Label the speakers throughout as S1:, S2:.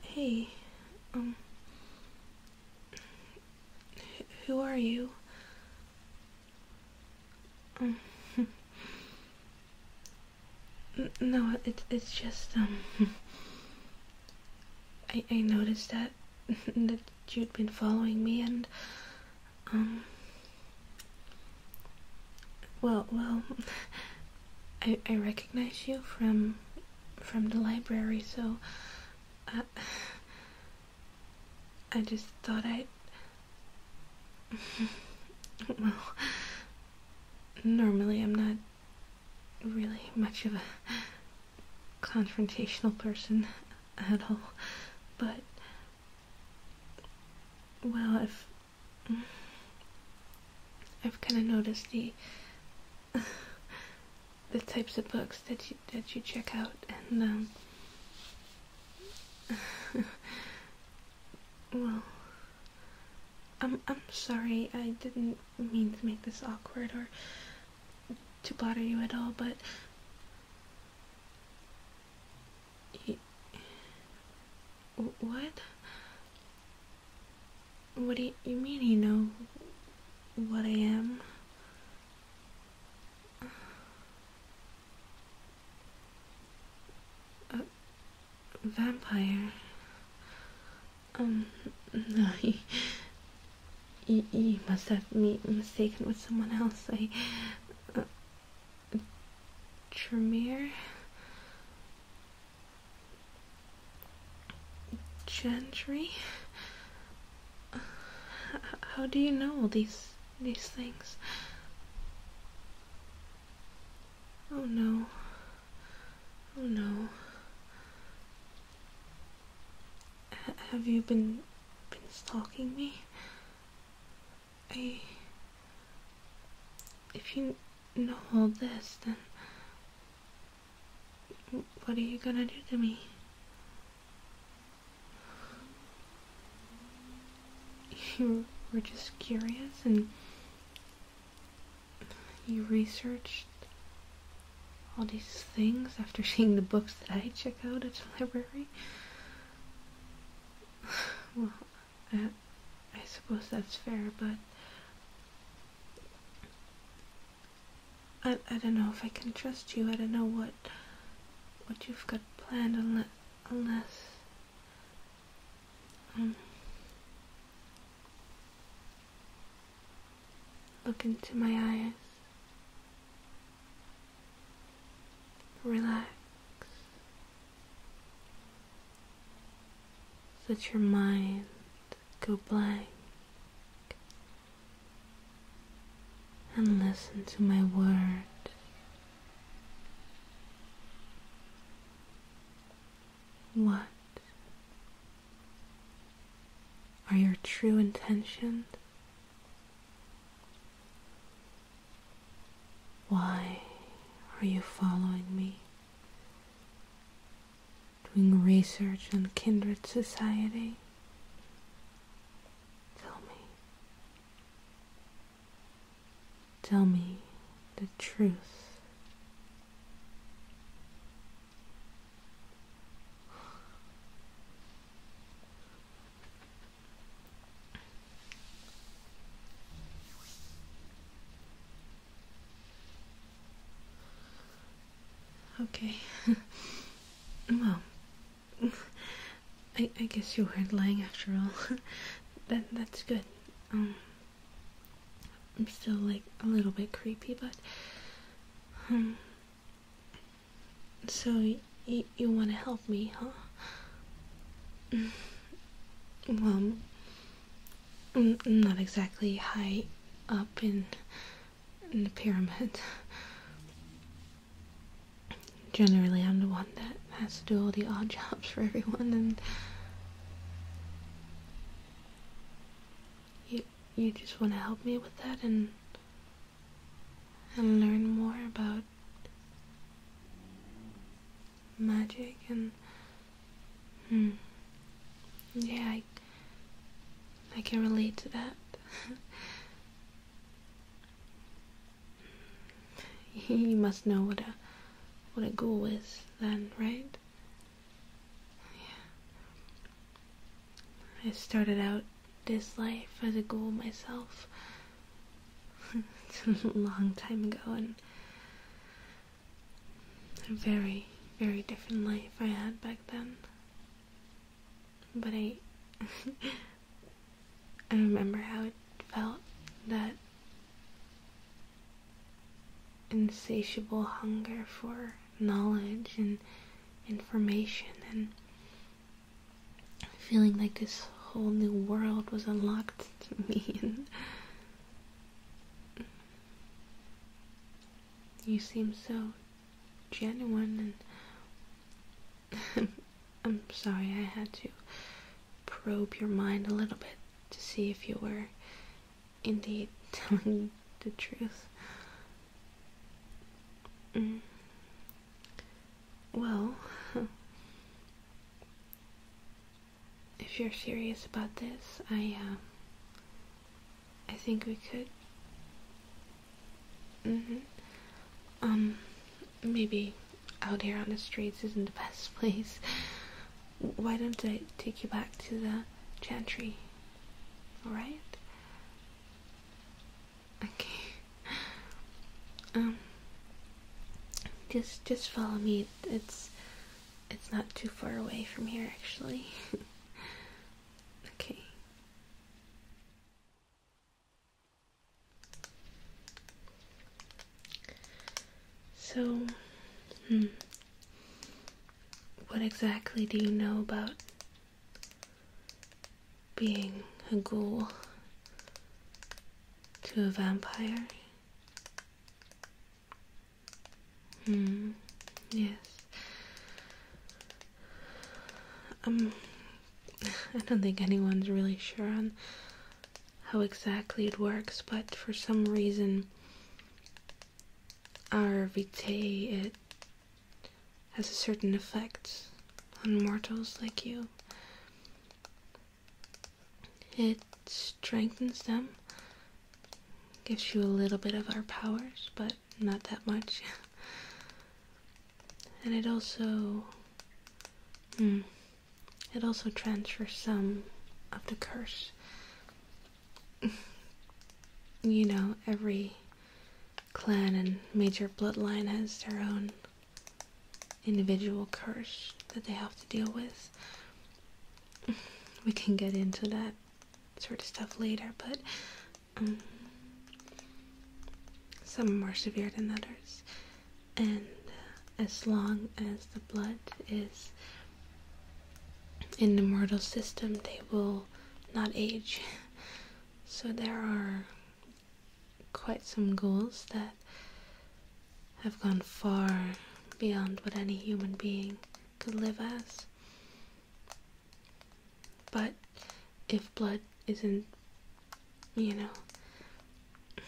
S1: Hey, um, who are you? Um, no, it's it's just um, I I noticed that that you'd been following me and um, well, well, I, I recognize you from from the library, so I, I just thought I'd. well, normally I'm not really much of a confrontational person at all, but well, if I've kind of noticed the the types of books that you that you check out, and um, well, I'm I'm sorry. I didn't mean to make this awkward or to bother you at all, but what? What do you, mean you know what I am? A vampire. Um, no, you, you, must have me mistaken with someone else. I. Uh, Tremere? Gentry? How do you know these these things? Oh no. Oh no. have you been been stalking me? If you know all this, then. What are you gonna do to me? You were just curious and. You researched all these things after seeing the books that I check out at the library. I, I suppose that's fair, but I, I don't know if I can trust you. I don't know what what you've got planned unless unless um, look into my eyes. Relax. Let your mind go blank and listen to my words. What are your true intentions? Why are you following me? Doing research on kindred society? Tell me. Tell me the truth. Okay. well, I, I guess you weren't lying after all. that that's good. Um, I'm still like a little bit creepy, but um, So y you want to help? me, huh? Well, not exactly high up in, in the pyramid. Generally, I'm the one that has to do all the odd jobs for everyone, and you you just want to help me with that and and learn more about magic and hmm, yeah, I, I can relate to that. you must know what a what a ghoul is, then, right? Yeah. I started out this life as a ghoul myself a long time ago and a very, very different life I had back then. But I I remember how it felt that insatiable hunger for knowledge and information and feeling like this whole new world was unlocked mean. You seem so genuine and I'm sorry I had to probe your mind a little bit to see if you were indeed telling the truth. Mm. Well, if you're serious about this, I, um, I think we could. Mm-hmm. Um, maybe out here on the streets isn't the best place. Why don't I take you back to the chantry? Alright? Okay. Um, just just follow me. It's it's not too far away from here actually. okay. So, hmm. what exactly do you know about being a ghoul? to a vampire? Hmm, yes. Um, I don't think anyone's really sure on how exactly it works, but for some reason, our vitae, it has a certain effect on mortals like you. It strengthens them, gives you a little bit of our powers, but not that much. and it also, hmm, it also transfers some of the curse. you know, every clan and major bloodline has their own individual curse that they have to deal with. We can get into that sort of stuff later, but um, some are more severe than others. And uh, as long as the blood is in the mortal system, they will not age. So there are quite some goals that have gone far beyond what any human being could live as. But if blood isn't, you know,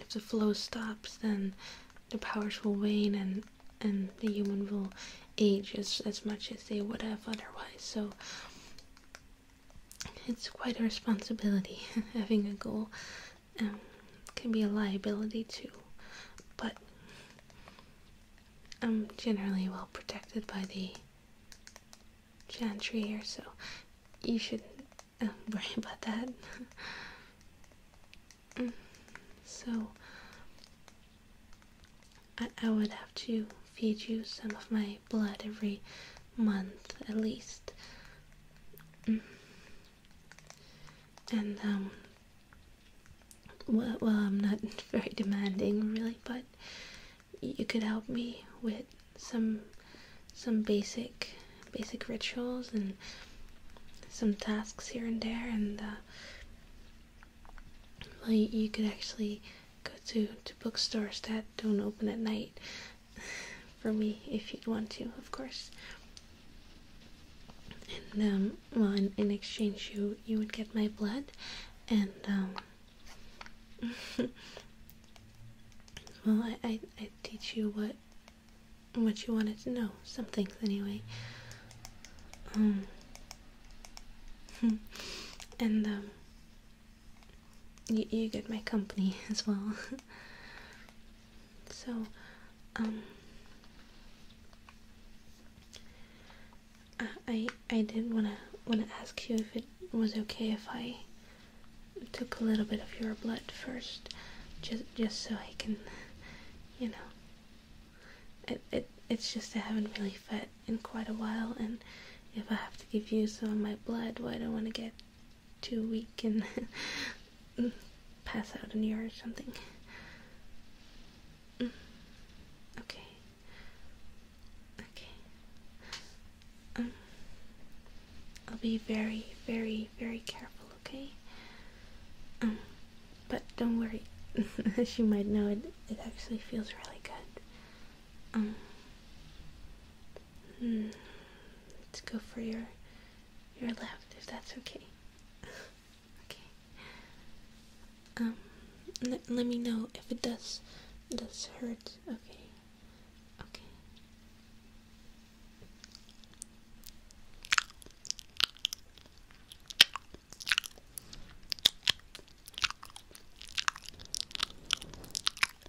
S1: if the flow stops, then the powers will wane and, and the human will age as, as much as they would have otherwise. So it's quite a responsibility. Having a goal um, can be a liability too, but I'm generally well protected by the chantry here, so you shouldn't uh, worry about that. Mm, so I would have to feed you some of my blood every month at least. Mm. And um, well, I'm not very demanding really, but you could help me with some some basic basic rituals and some tasks here and there and uh, well, you, you could actually go to, to bookstores that don't open at night for me if you'd want to, of course. And um, well, in, exchange, you you would get my blood, and um, well, I, I teach you what what you wanted to know, some things anyway. Um, and um, you, you get my company as well. so, um, I I did wanna wanna ask you if it was okay if I took a little bit of your blood first, just just so I can, you know. It it it's just I haven't really fed in quite a while, and if I have to give you some of my blood, well, I don't want to get too weak and pass out in the yard or something. Mm. Okay. Okay. Um, I'll be very, very, very careful, okay? Um, but don't worry. As you might know, it, it actually feels really good. Um, Hmm. Let's go for your your left, if that's okay. okay. Um, let me know if it does does hurt. Okay. Okay.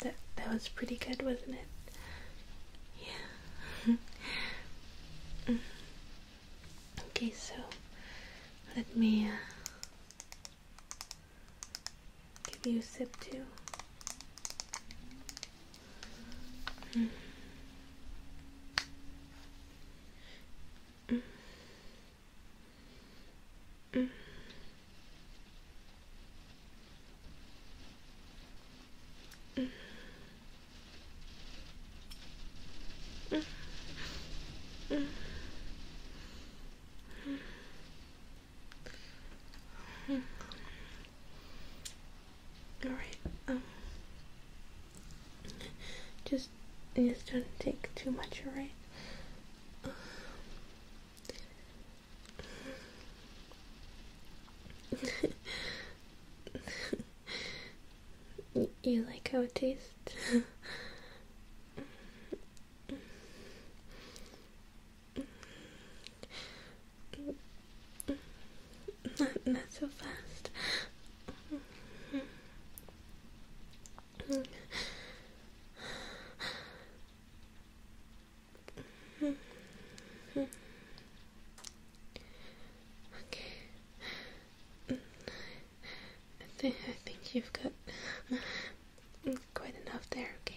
S1: that that was pretty good, wasn't it? Yeah. okay, so let me uh, Give you a sip too. Hmm. All right. Um, just just don't take too much, right? you like how it tastes? Not, so fast. Okay. I think I think you've got quite enough there. Okay.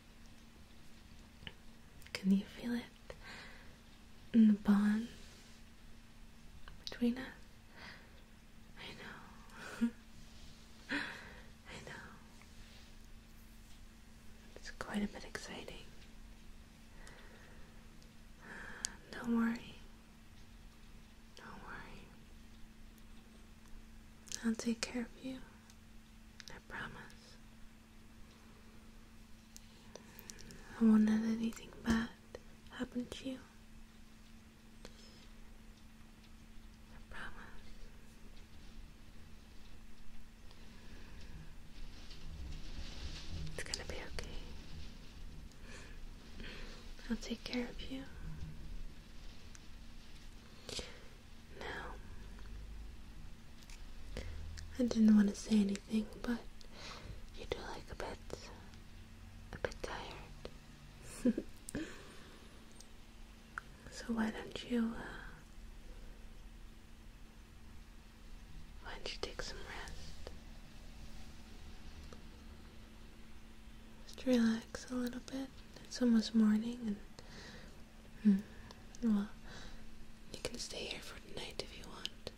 S1: Can you feel it? in the bond between us? I know. I know. It's quite a bit exciting. Don't worry. Don't worry. I'll take care of you. I promise. I won't let anything bad happen to you. I promise. It's gonna be okay. I'll take care of you. Now, I didn't want to say anything, but you do like a bit, a bit tired. so why don't you, uh, why don't you take some rest? Just relax a little bit. It's almost morning Hmm. Well, you can stay here for the night if you want.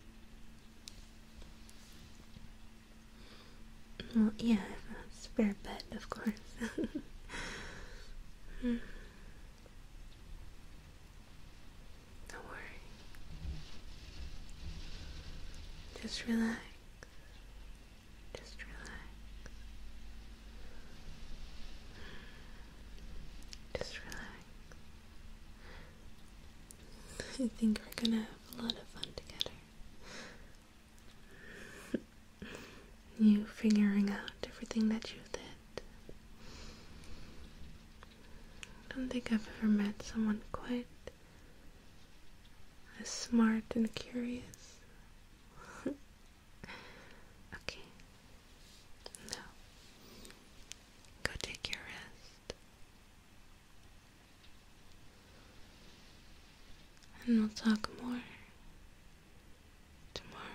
S2: Well, yeah, spare
S1: bed, of course. Hmm. Don't worry. Just relax. Just relax. Hmm. Just relax. I think we're gonna have a lot of fun together. you figuring out everything that you did. I don't think I've ever met someone quite as smart and curious. Okay. Now, go take your rest. And we'll talk more tomorrow.